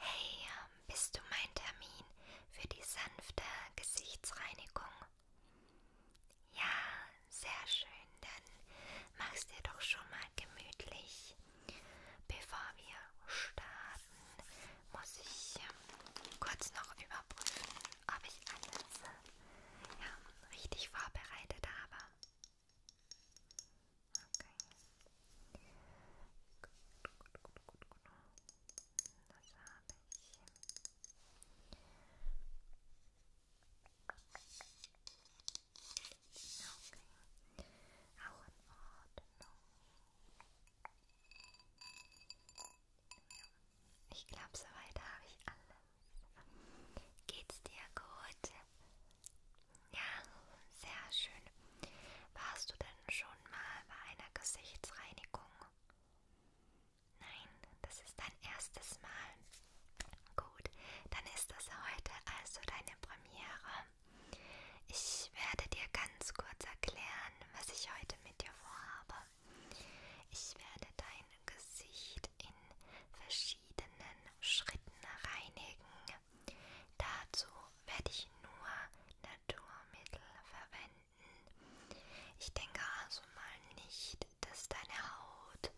Hey, ähm, bist du mein Termin für die sanfte Gesichtsreinigung? Ja, sehr schön. Dann mach's dir doch schon mal gemütlich. Bevor wir starten, muss ich ähm, kurz noch überprüfen, ob ich alles ja, ähm, richtig vorbereitet habe. Okay. Gut, gut, gut, gut, gut. Das habe ich. Okay. Auch in Ordnung. Ja. Ich glaube, soweit habe ich alles. Geht's dir gut? Ja, sehr schön. Warst du denn schon mal bei einer Gesichtsreinigung? Nein, das ist dein erstes Mal. Gut, dann ist das heute also deine Premiere. Ich werde dir ganz kurz erklären, was ich heute mit dir vorhabe. Ich werde dein Gesicht in verschiedenen Schritten reinigen. Dazu werde ich nur Naturmittel verwenden. Ich denke also mal nicht, dass deine Haut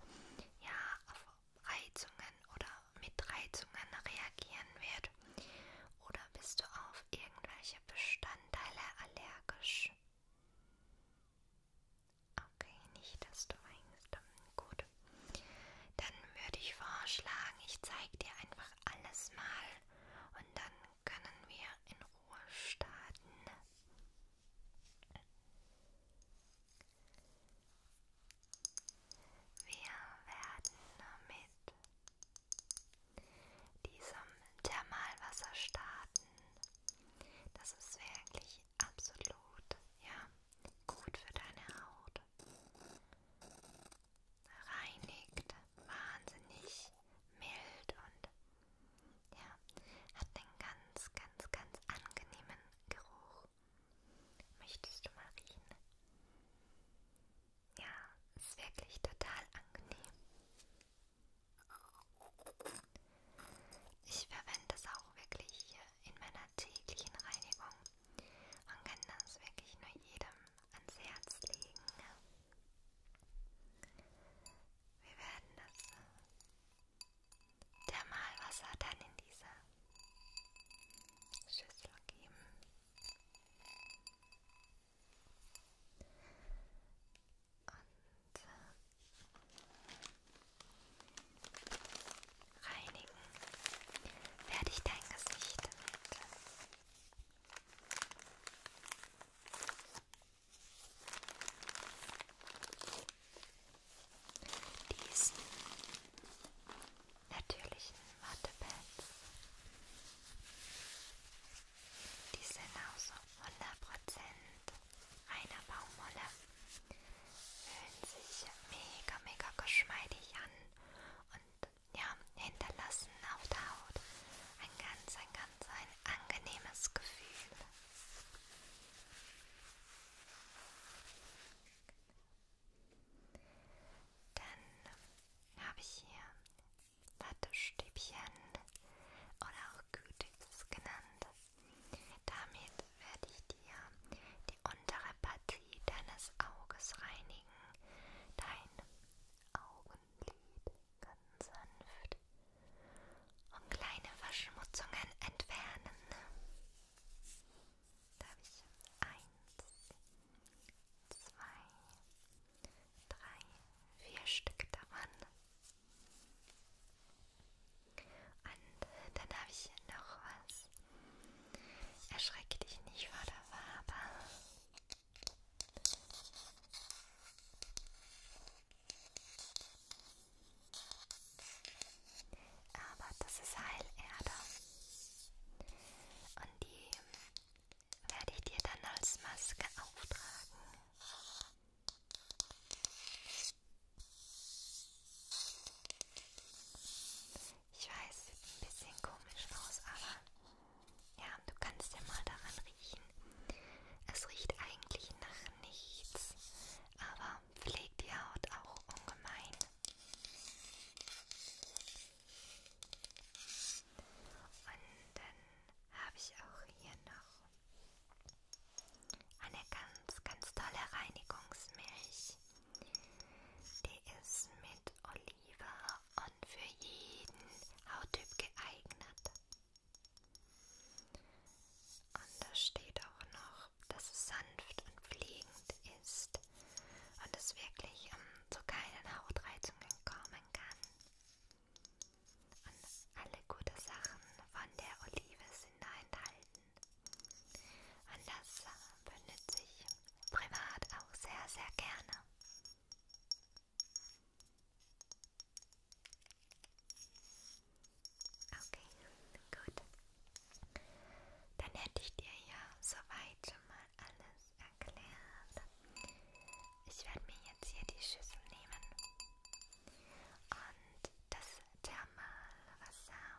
ja auf Reizungen oder mit Reizungen reagieren wird. Oder bist du auf irgendwelche Bestandteile allergisch? Okay, nicht, dass du meinst. Hm, gut. Dann würde ich vorschlagen, ich zeige dir einfach alles mal und dann können wir in Ruhe starten. Wir werden mit diesem Thermalwasser starten. Das ist wirklich absolut ja gut für deine Haut reinigt, wahnsinnig mild und ja, hat einen ganz, ganz, ganz angenehmen Geruch. Möchtest du mal riechen? Ja, ist wirklich total angenehm. Ich verwende es auch wirklich hier in meiner täglichen Reinigung. Man kann das wirklich nur jedem ans Herz legen. Wir werden das Thermalwasser dann in diese Schüssel geben. Und äh, reinigen werde ich dein Gesicht mit diesen natürlichen Wattepads, die sind aus 100% reiner Baumwolle, fühlen sich mega, mega geschmeidig an und ja, hinterlassen auf der Haut ein ganz, ein ganz ein angenehmes Gefühl. Dann habe ich hier Wattestäbchen oder auch Gütiges genannt. Damit werde ich dir die untere Partie deines Auges reinigen reinigen dein Augenlid ganz sanft und kleine Verschmutzungen entfernen. Da habe ich eins, zwei, drei, vier Stück davon. Und dann habe ich noch was Erschrecke dich nicht vor der Farbe. Aber das ist Heilerde. Und die werde ich dir dann als Maske auftragen. Ich weiß, sieht ein bisschen komisch aus, aber ja, du kannst ja mal daran riechen. Es riecht eigentlich nach nichts, aber pflegt die Haut auch ungemein. Und dann habe ich auch hier noch eine ganz, ganz tolle Reinigungsmilch. Die ist mit Oliva und für jeden Hauttyp geeignet. Und da steht auch noch, dass es sanft und pflegend ist und es wirklich um, ähm, zu keinen Hautreizungen kommen kann. Und alle guten Sachen von der Olive sind da enthalten. Und das äh, benutze ich privat auch sehr, sehr gerne. Okay, gut. Dann hätte ich dir ja soweit schon mal alles erklärt. Ich werde mir jetzt hier die Schüssel nehmen und das Thermalwasser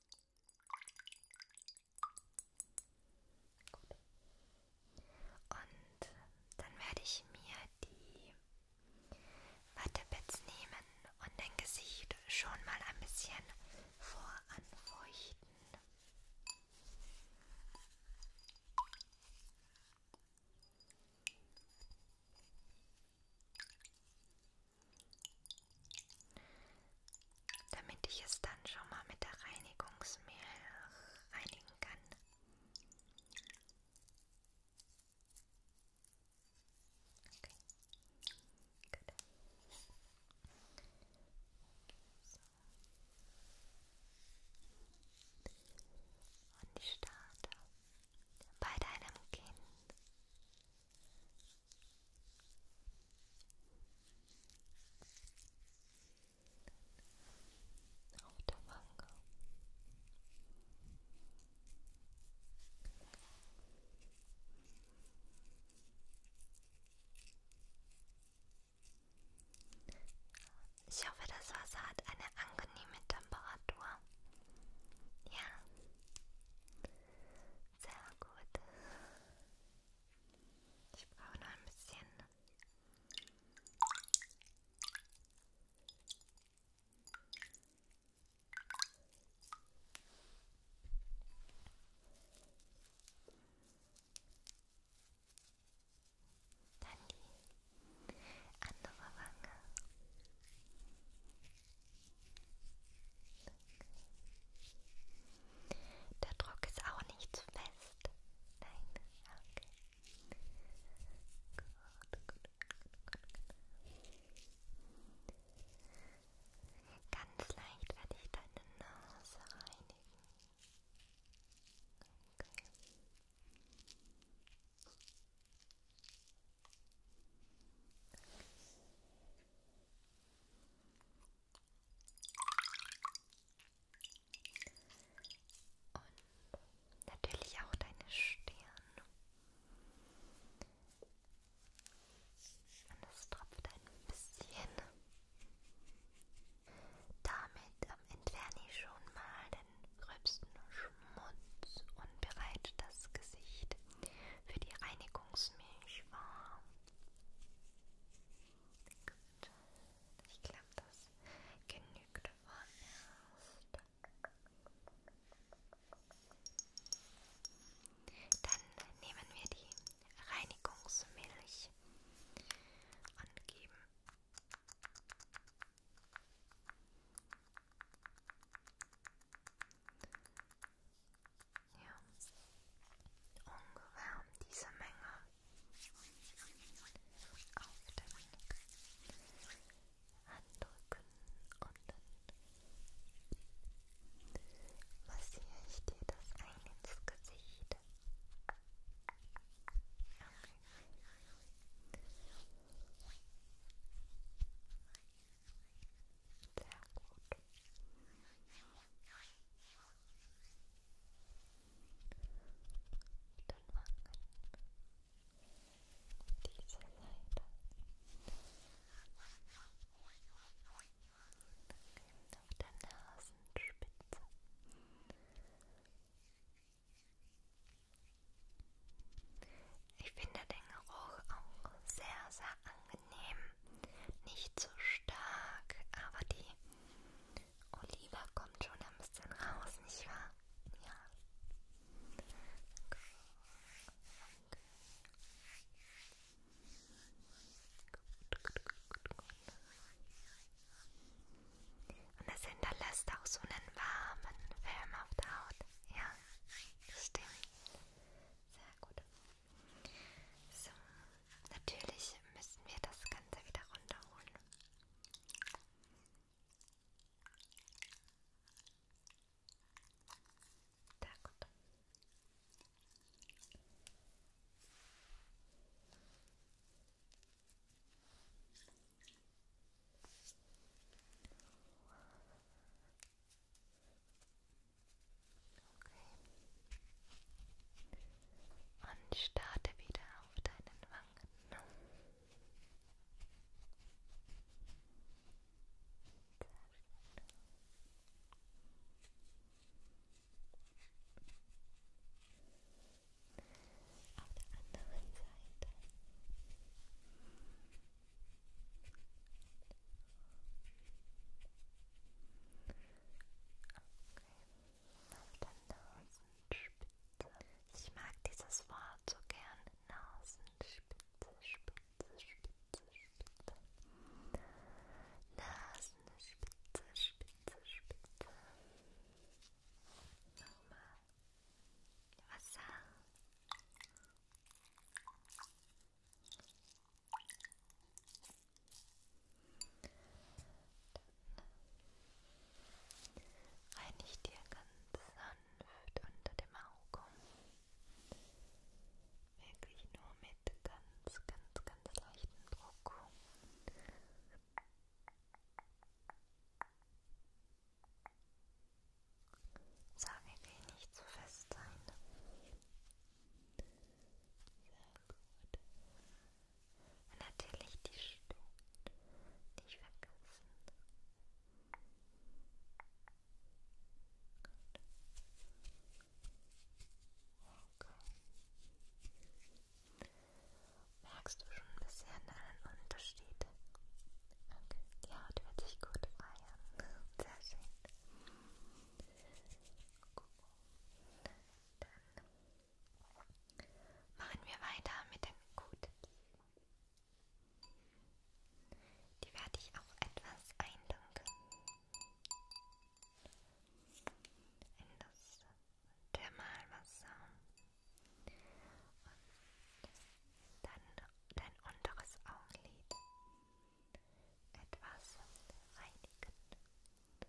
Gut. Und dann werde ich mir die Wattepads nehmen und dein Gesicht schon mal ein bisschen voranfeuchten damit ich es dann schon mal mit der Reinigungsmehl reinigen kann. Okay. Gut. So. Und ich starte bei deinem Kinn. Auf der Wange. Ich hoffe, das Wasser hat eine angenehme Temperatur. Ja. Sehr gut. Ich brauche noch ein bisschen. Dann die andere Wange. Der Druck ist auch nicht zu fest. Nein, okay. Gut, gut, gut, gut, gut. Ganz leicht werde ich deine Nase reinigen. Okay. Und natürlich auch deine Stirn. Und es tropft ein bisschen. Damit entferne ich schon mal den gröbsten Schmutz und bereite das Gesicht für die Reinigungsmilch warm. Gut, ich glaube, das genügt vorerst. Dann nehmen wir die Reinigungsmilch und geben ja, ungefähr diese Menge auf den Handrücken und dann massiere ich dir das ein ins Gesicht. Okay. Sehr gut. Dann machen diese Seite. Auf der Nasenspitze. Ich finde den Geruch auch sehr, sehr angenehm. Nicht so stark, aber die Olive kommt schon ein bisschen raus, nicht wahr? Ja. Okay. Okay. Und es hinterlässt auch so einen warmen Film auf der Haut. Ja, stimmt. Sehr gut. So, natürlich müssen wir das Ganze wieder runterholen. Sehr gut. Okay. Und starte wieder auf deinen Wangen. Auf der anderen Seite auf der Nasenspitze. Ich mag dieses Wort so gern. Nasenspitze, Spitze, Spitze, Spitze. Nasenspitze, Spitze, Spitze. Nochmal. Wasser. Dann reinig dir ganz sanft unter dem Auge. Wirklich nur mit ganz, ganz, ganz leichtem Druck. So, wir will nicht zu fest sein. Sehr gut. Und natürlich die Stirn nicht vergessen. Oh gut. Okay. Merkst du schon ein bisschen einen Unterschied? Okay, die Haut wird sich gut feiern. Sehr schön. Dann machen wir weiter mit den Cookies. Die werde ich auch etwas einlunken in das Thermalwasser und dann dein unteres Augenlid etwas reinigen. Okay.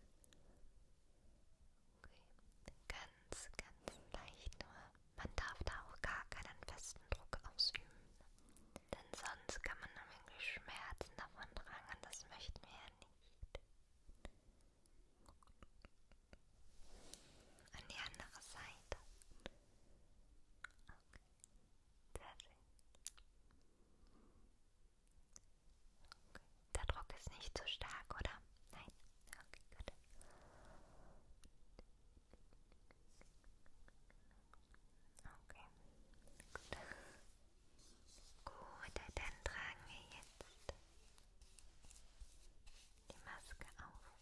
Ganz, ganz leicht nur. Man darf da auch gar keinen festen Druck ausüben. Denn sonst kann man nämlich Schmerzen davon tragen und das möchten wir ja nicht. An die andere Seite. Okay. Sehr schön. Okay. Der Druck ist nicht zu stark, oder? Nein? Okay, gut. Okay, gut. Gut, dann tragen wir jetzt die Maske auf.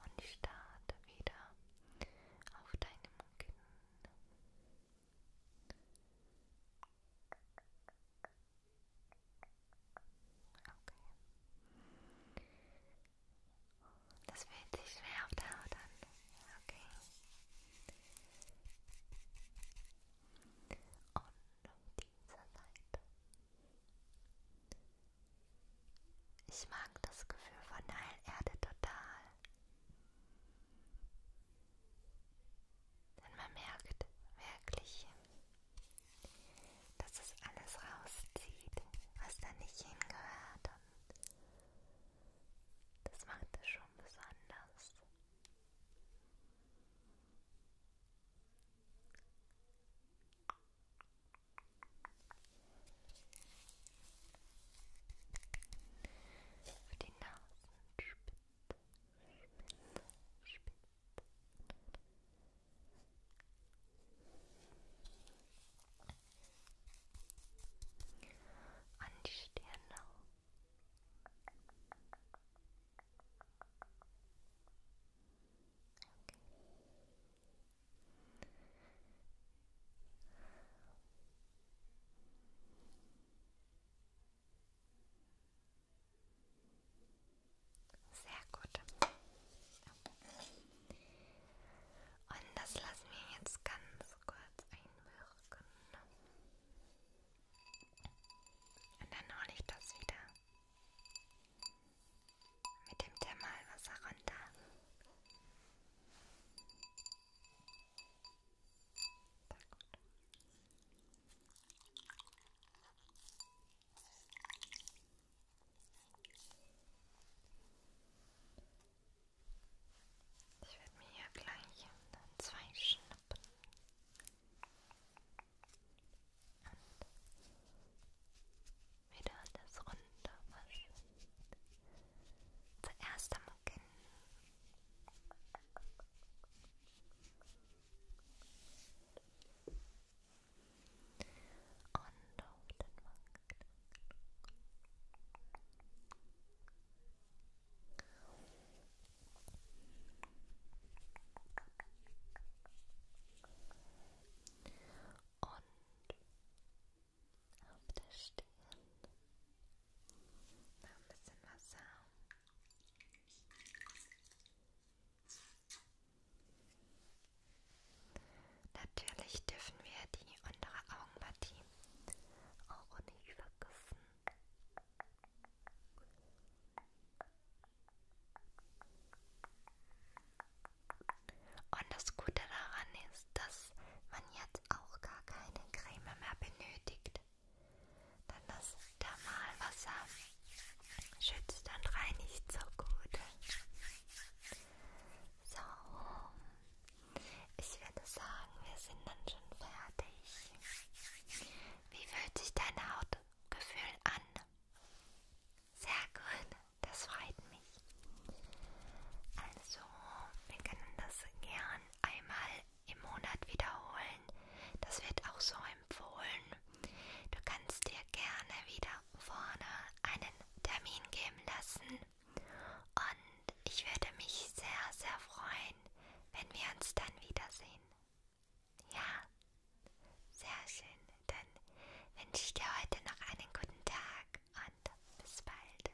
Und starte wieder auf deinem Kinn Okay. Das fühlt sich schwer auf der Haut an. Okay. Und diese Seite. Ich mag das Gefühl von Heilerde total. Denn man merkt wirklich, dass es alles rauszieht, was da nicht hingehört. Und das macht es schon besonders. Auf die Nasenspitze, Spitze, Spitze. An die Stirn auch. Okay. Sehr gut. Und das lassen wir jetzt ganz kurz einwirken. Und dann hole ich das wieder mit dem Thermalwasser runter. Tak oto. Ich werde mir hier gleich dann zwei schnappen. Und wieder das runter waschen. Zuerst am looking. Und auf der Stirn Noch ein bisschen Wasser. Natürlich dürfen wir die untere Augenpartie auch nicht vergessen. Und das Gute daran ist, dass man jetzt jetzt auch gar keine Creme mehr benötigt. Denn das Thermalwasser schützt und reinigt so gut. So, ich würde sagen, wir sind dann schon fertig. Wie fühlt sich dein Hautgefühl an? Sehr gut, das freut mich. Also, wir können das gern einmal im Monat wiederholen. Das wird auch so empfohlen. Du kannst dir gerne wieder vorne einen Termin geben lassen. Und ich würde mich sehr, sehr freuen, wenn wir uns dann wiedersehen. Ja, sehr schön. Dann wünsche ich dir heute noch einen guten Tag und bis bald.